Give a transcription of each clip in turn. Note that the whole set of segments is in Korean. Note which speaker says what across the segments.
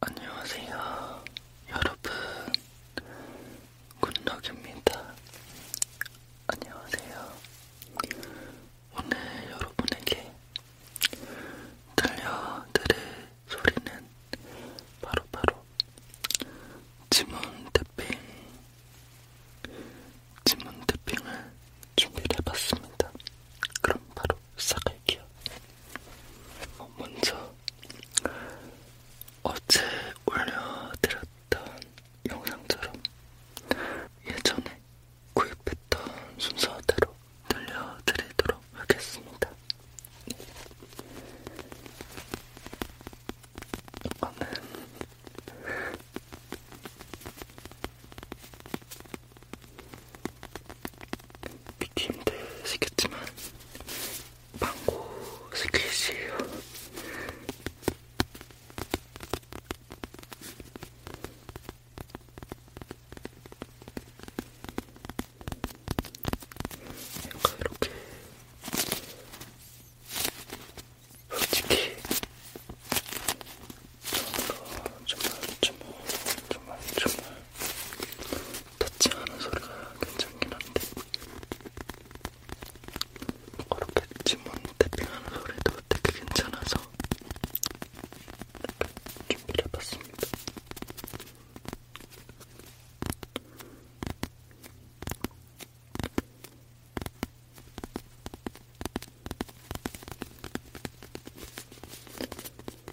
Speaker 1: 안녕하세요, 여러분. 굿럭입니다. 안녕하세요. 오늘 여러분에게 들려드릴 소리는 바로바로 바로 지문 태핑, 지문 태핑을 준비해봤습니다. 그럼 바로. 시작할게요. 어, 먼저 어제 올려드렸던 영상처럼 예전에 구입했던 순서대로 들려드리도록 하겠습니다. 이거는 믿기 힘드시겠지만 망고 스퀴시에요. 약간 이렇게 솔직히 처음으로 정말 정말 정말 정말 터치하는 소리가 괜찮긴 한데 그렇게 지문 태핑하는 소리도 되게 괜찮아서 준비를 해봤습니다.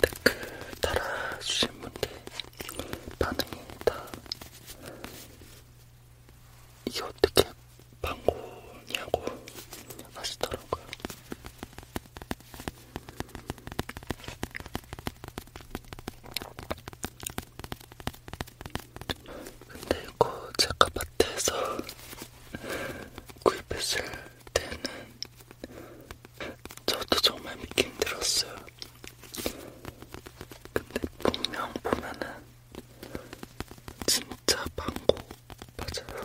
Speaker 1: 댓글 달아주신 분들 반응이 다 이게 어떻게 방구냐고 하시더라고요. 근데 이거 제가 마트에서 구입했을 때는 저도 정말 믿기 힘들었어요. 근데 분명 보면은 진짜 방구 맞아요.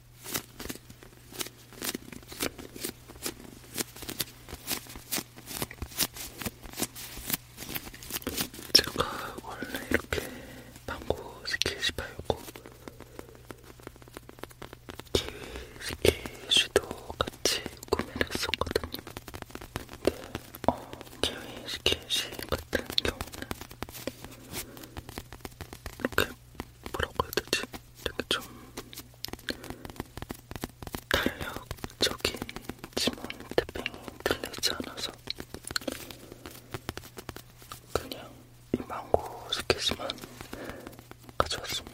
Speaker 1: 제가 원래 이렇게 망고 스키시바였고 키위 스키시도 같이 구매를 했었거든요. 근데 어, 키위 스키시 같은 경우는 이렇게 뭐라고 해야 되지? 되게 좀 탄력적인 지만 태핑이 들리지 않아서 그냥 이 망고 스케치만 가져왔습니다.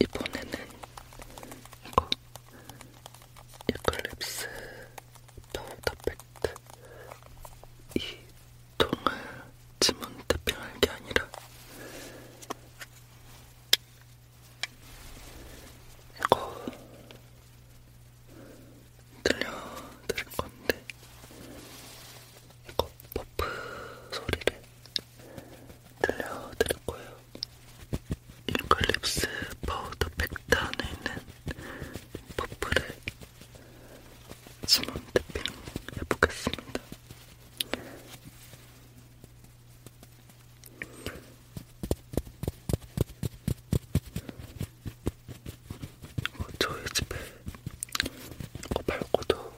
Speaker 1: 이번에는 이거 이클립스 파우더 팩트 이 통을 지문 탭핑할 게 아니라 이거 들려드릴 건데, 이거 버프 소리를 들려드릴 거예요. 잉클립스 파우더 팩트 안에 있는 버프를 지문 탭핑 해보겠습니다. 뭐 저희 집에 이거 말고도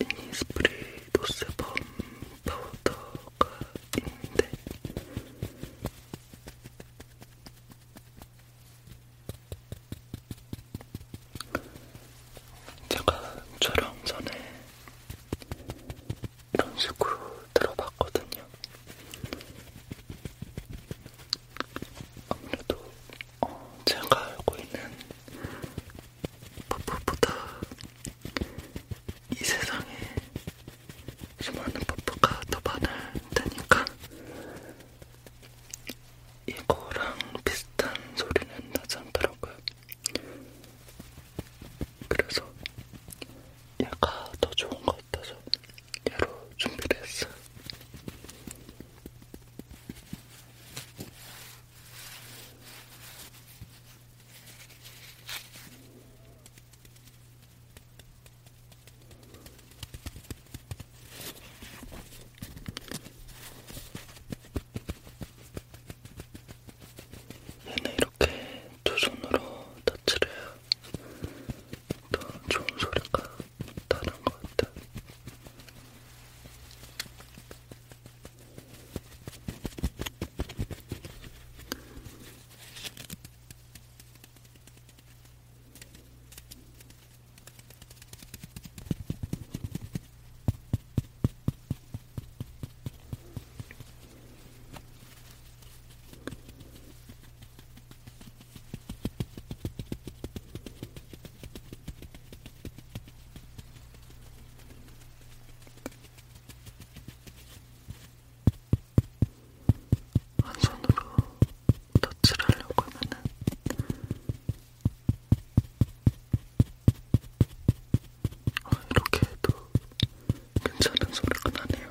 Speaker 1: 이니스프리 노세범 파우더가 있는데 제가 촬영 전에 이런 식으로 들어봤거든요. 아무래도 어, 제가 알고 있는 퍼프보다 이 세상에 수많은 퍼프가 더 많을 테니까 이거랑 비슷한 소리는 나지 않더라고요. 그래서 얘가 더 좋은 것 같아서 얘로 준비를 했어요. 얘는 이렇게 두 손으로 터치를 해요. 더 좋은 소리가 나는 것 같아. 한 손으로 터치를 하려고 하면은 어, 이렇게 해도 괜찮은 소리가 나네요.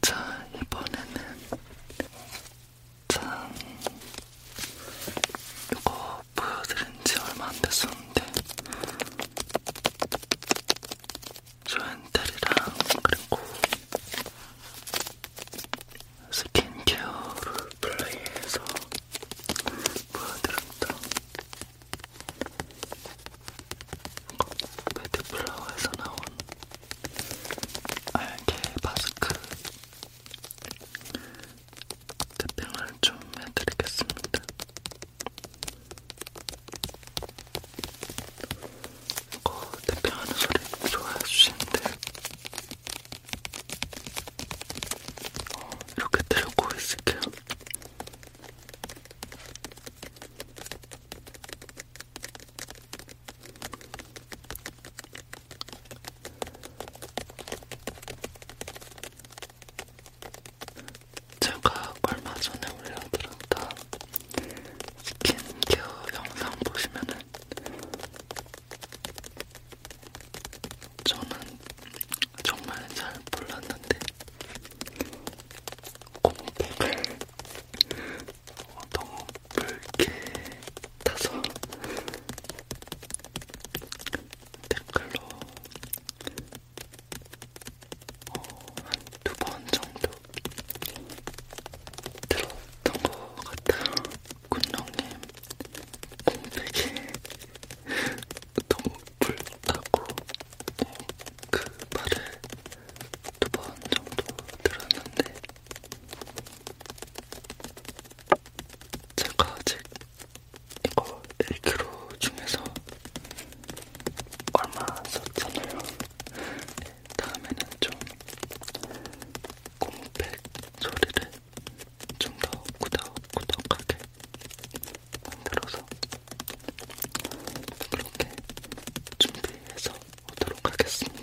Speaker 1: 자, 이번에는 참 이거 보여드린지 얼마 안 됐었는데 조앤들이랑 그리고 스킨케어를 플레이해서 보여드렸다. 매트플라워에서 나온 알게 마스크 태핑을 좀 해드리겠습니다. 이거 어, 대표하는 소리 좋아해 주시는데 어, 이렇게 들고 있을게요. 제가 얼마 전에 올려드렸던 스킨케어 영상 보시면은 저는 정말 잘 몰랐는데 공백을 너무 붉게 타서 댓글로 어, 한두 번 정도 들었던 것 같아요. 군룡님 공백이 너무 불타고 그 말을 두 번 정도 들었는데 제가 아직 이거 1kg 중에서 얼마 썼잖아요. 다음에는 좀 공백 소리를 좀더 꾸덕꾸덕하게 만들어서 그렇게 준비해서 오도록 하겠습니다.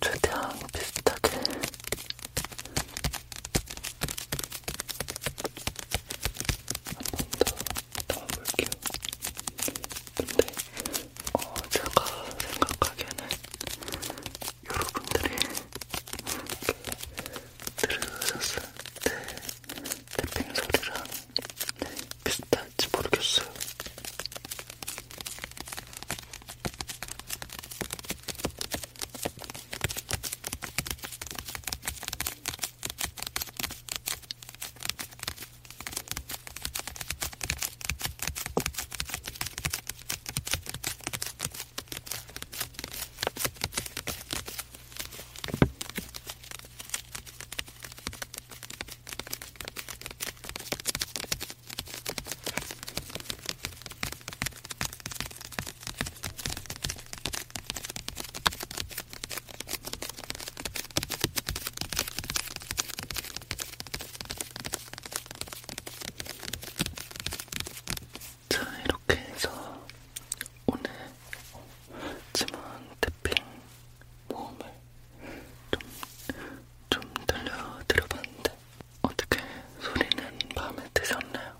Speaker 1: 최대한 비슷하게 한 번더 담아볼게요. 근데 어, 제가 생각하기에는 여러분들이 들으셨을 때 탭핑 소리랑 비슷할지 모르겠어요. 자, 이렇게 해서 오늘 지문 태핑 모험을 좀좀 들려드려봤는데 어떻게 소리는 마음에 드셨나요?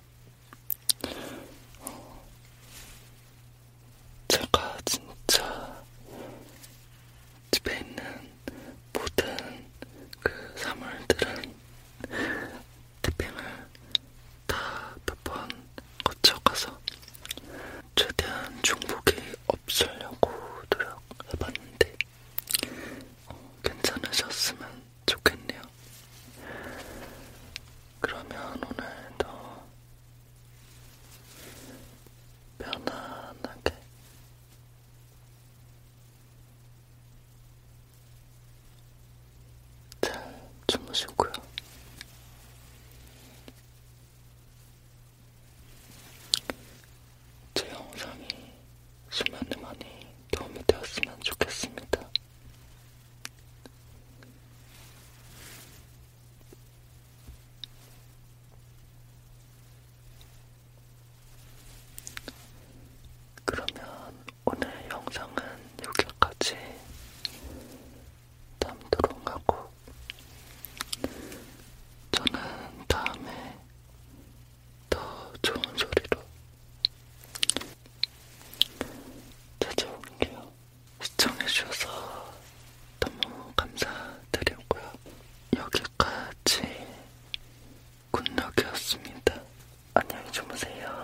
Speaker 1: 어, 제가 진짜 집에 있는 모든 그 사물들은 태핑을 다몇번 거쳐가서 최대한 중복이 없으려고 노력해봤는데 어, 괜찮으셨으면 좋겠네요. 그러면 오늘도 편안하게 잘 주무시고요. 제 영상이 수면에 많이 도움이 되었으면 좋겠습니다. 그러면 오늘 영상은 여기까지 담도롱하고 저는 다음에 더 좋은 소리로 찾아올게요. 시청해주셔서 너무 감사드리고요. 여기까지 굿럭이었습니다. 안녕히 주무세요.